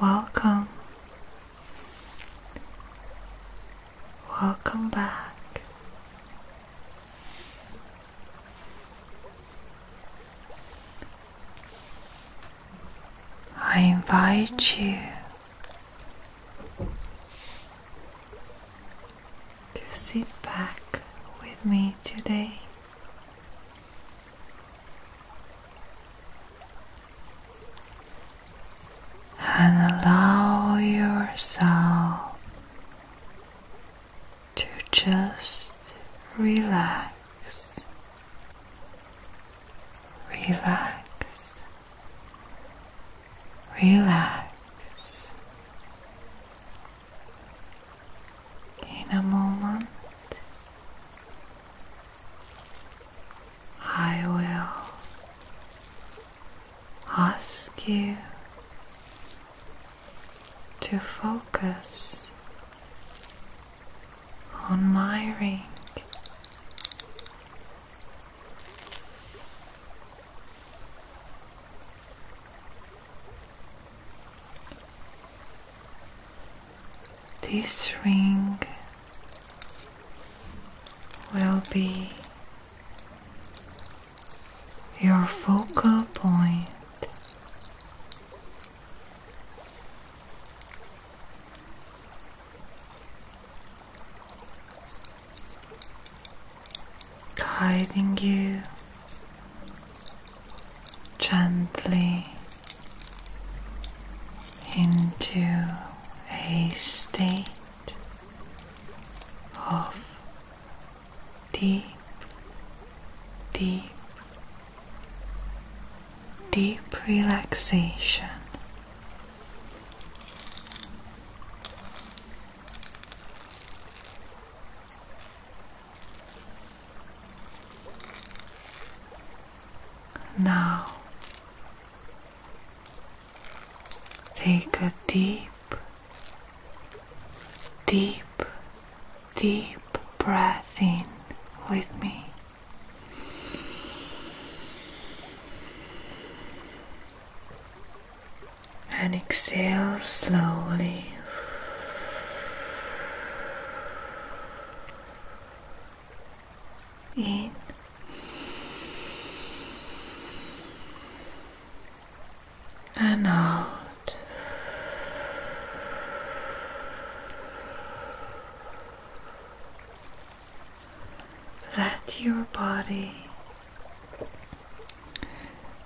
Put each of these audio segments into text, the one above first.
Welcome. Welcome back. I invite you to sit back with me today and allow yourself to just relax, relax, relax. In a moment, I will ask you to focus on my ring. This ring will be your focal point. Guiding you gently into a state of deep, deep, deep relaxation. Now take a deep, deep, deep breath in with me. And exhale slowly. In. And out. Let your body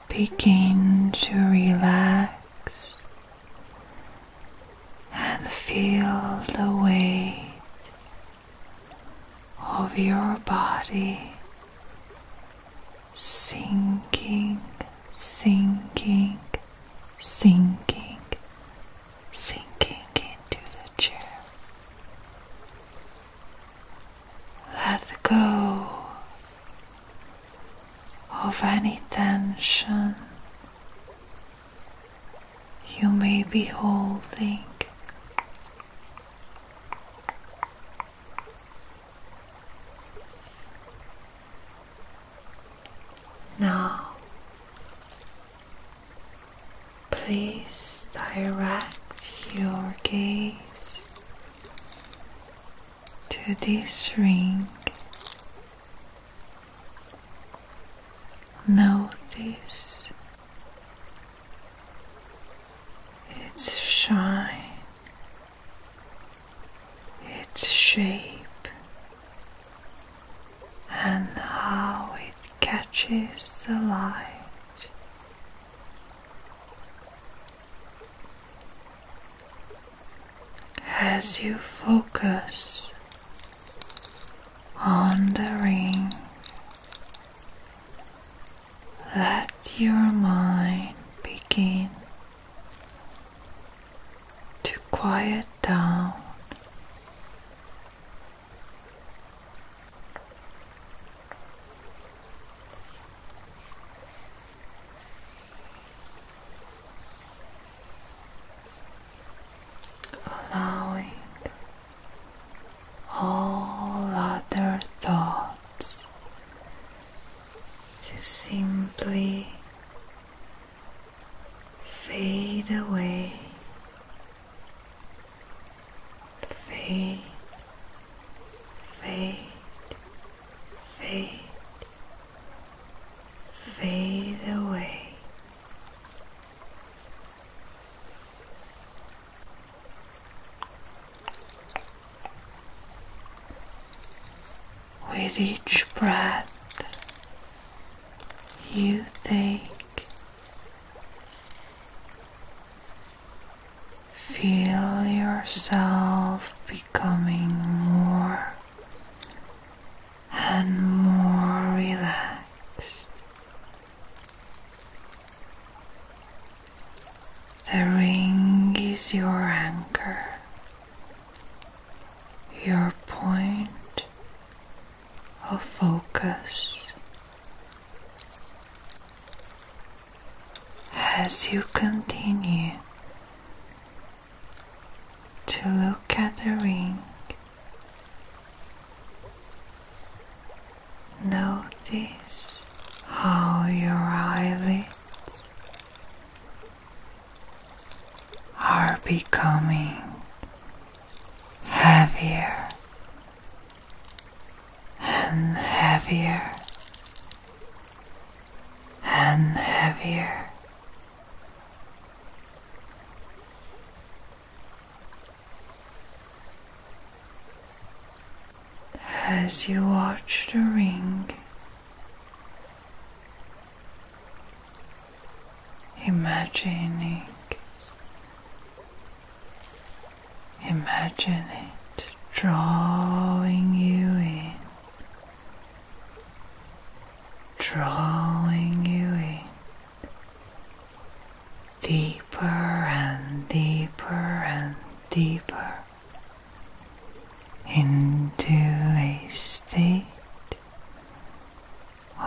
begin to relax and feel the weight of your body sinking, sinking, sinking, sinking into the chair. Let go of any tension you may be holding. Now, please direct your gaze to this ring. Notice its shine, its shape, and how it catches the light as you focus on the ring. Let your mind begin to quiet down allowing all other thoughts to simply fade away, fade, fade, fade fade away. With each breath, you take Feel yourself becoming more and more relaxed. The ring is your anchor, your point of focus. As you continue to look at the ring. Notice how your eyelids are becoming heavier and heavier and heavier. As you watch the ring, imagining, imagine drawing you in drawing you in deeper and deeper and deeper into a state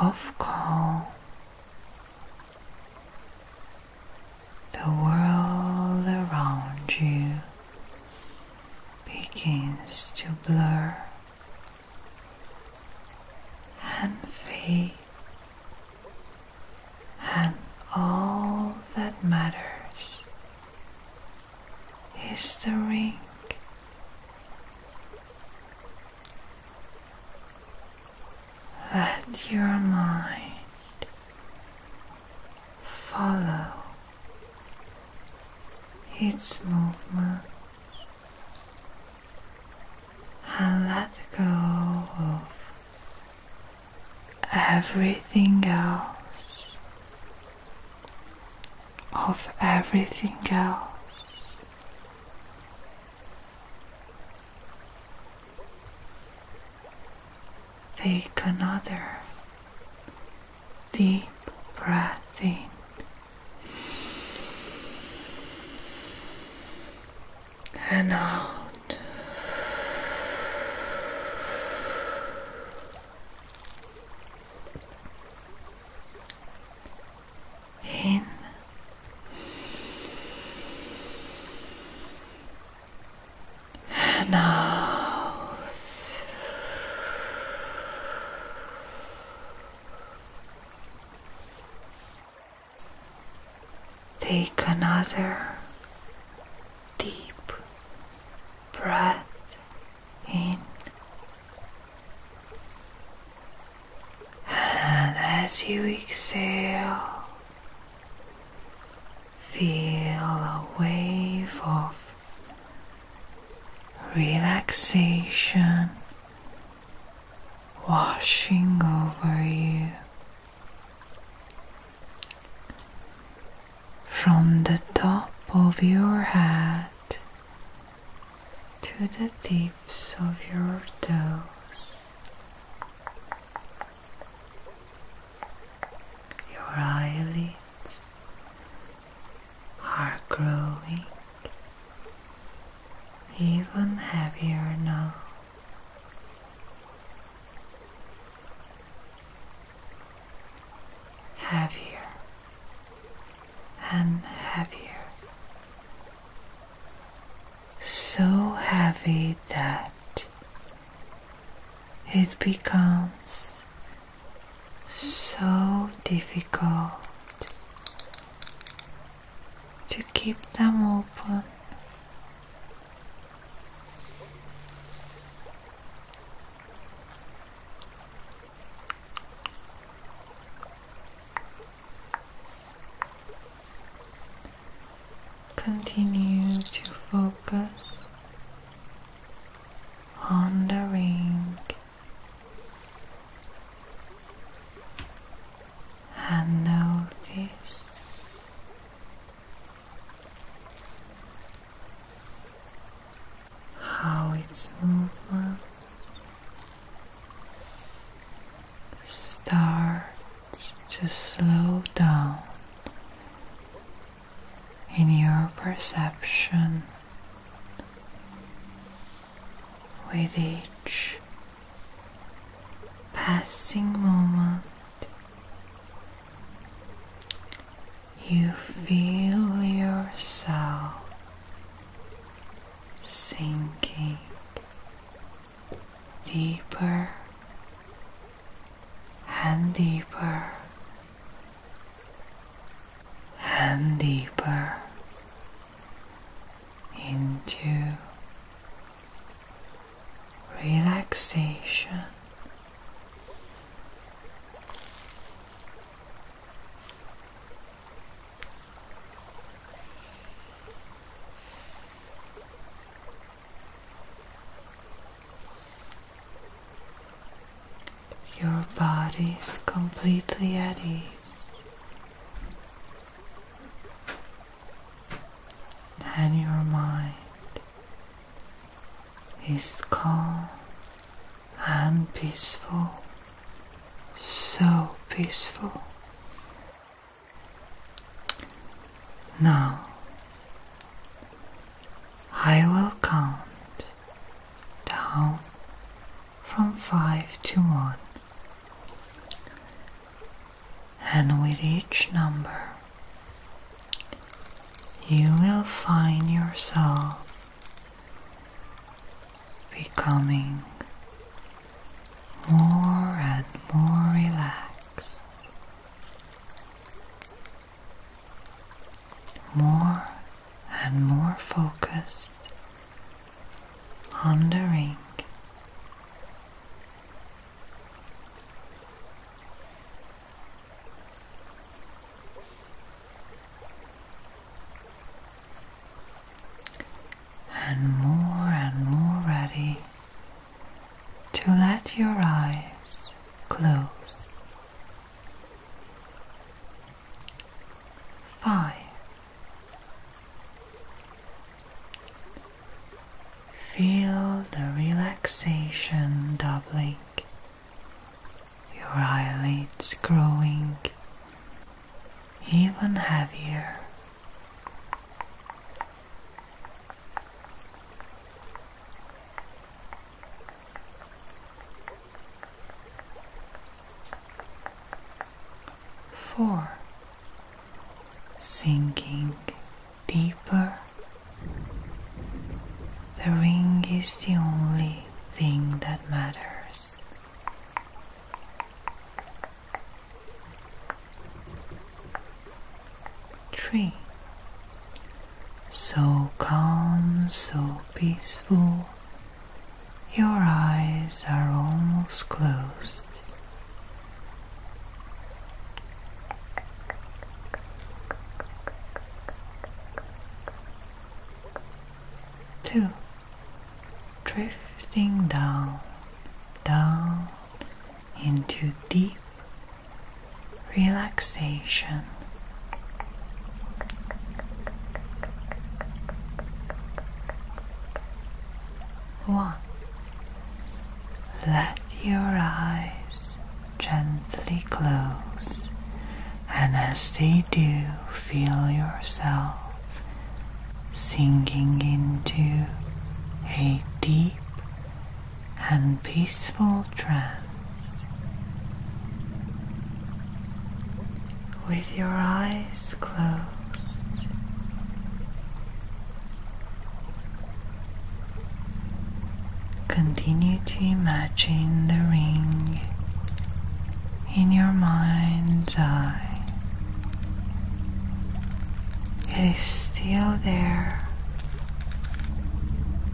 of calm. The world around you begins to blur and fade, and all that matters is the ring. Let your mind follow its movements and let go of everything else, of everything else. Take another Deep breath in. And out. In. And out. Take another deep breath in, and as you exhale, feel a wave of relaxation washing over you from the top of your head to the tips of your toes. Your eyelids are growing even heavier now. Heavier and heavier. So heavy that it becomes so difficult to keep them open. Continue to focus on the ring and notice how its movement starts to slow down in your perception with each passing moment. You feel yourself sinking deeper and deeper and deeper into relaxation. Your body is completely at ease, and your mind is calm and peaceful, so peaceful. Now I will count down from five to one, and with each number, you will find yourself becoming more and more relaxed more and more focused on the ring. And more and more ready to let your eyes close Five. Feel the relaxation doubling, your eyelids growing even heavier. Four, sinking deeper. The ring is the only thing that matters. Three, so calm, so peaceful, your eyes are almost closed. Two, drifting down, down into deep relaxation. One. Let your eyes gently close, and as they do, feel yourself sinking into a deep and peaceful trance. With your eyes closed, continue to imagine the ring in your mind's eye. It is still there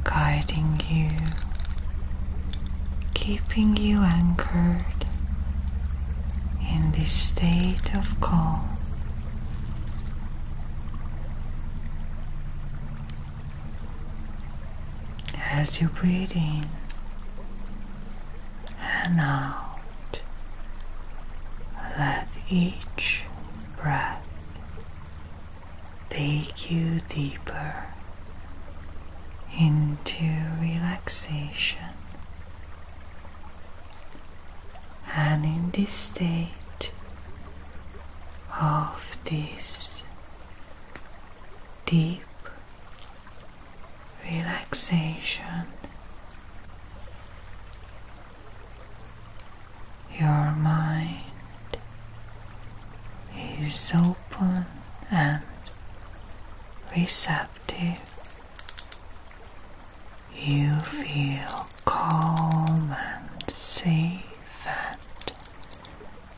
guiding you, keeping you anchored in this state of calm. As you breathe in and out, let each breath take you deeper into relaxation. And in this state of this deep relaxation, your mind is open and receptive. You feel calm and safe and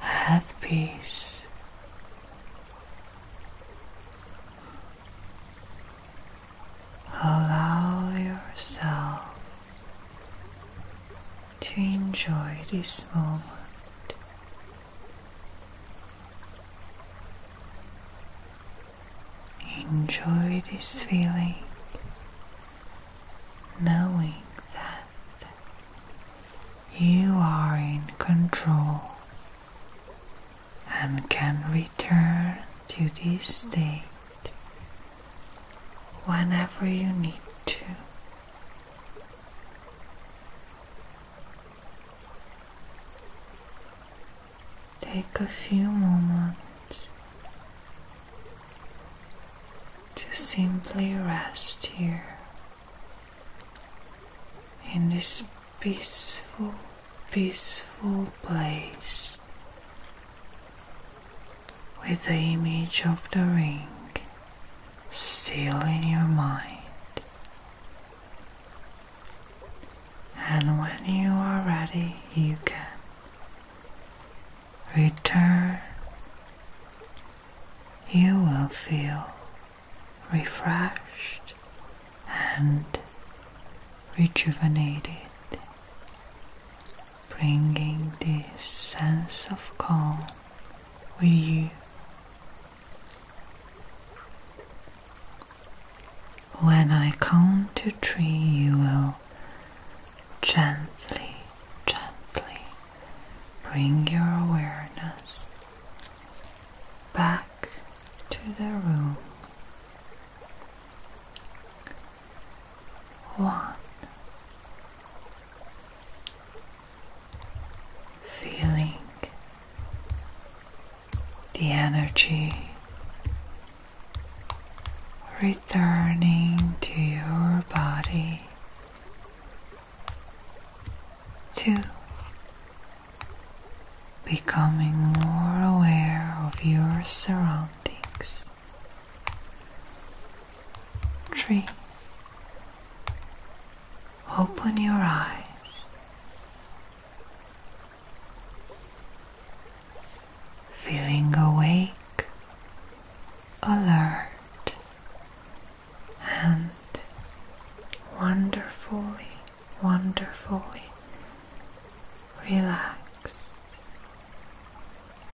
at peace. Allow yourself to enjoy this moment. Enjoy this feeling, knowing that you are in control and can return to this state whenever you need to. Take a few moments to simply rest here in this peaceful, peaceful place with the image of the ring still in your mind. And when you are ready, you can return. You will feel refreshed and rejuvenated bringing this sense of calm with you. When I count to three, you will gently, gently bring your awareness back to the room one. Feeling the energy returning to your body. Two, becoming more aware of your surroundings tree. Open your eyes. Feeling awake, alert, and wonderfully, wonderfully relaxed.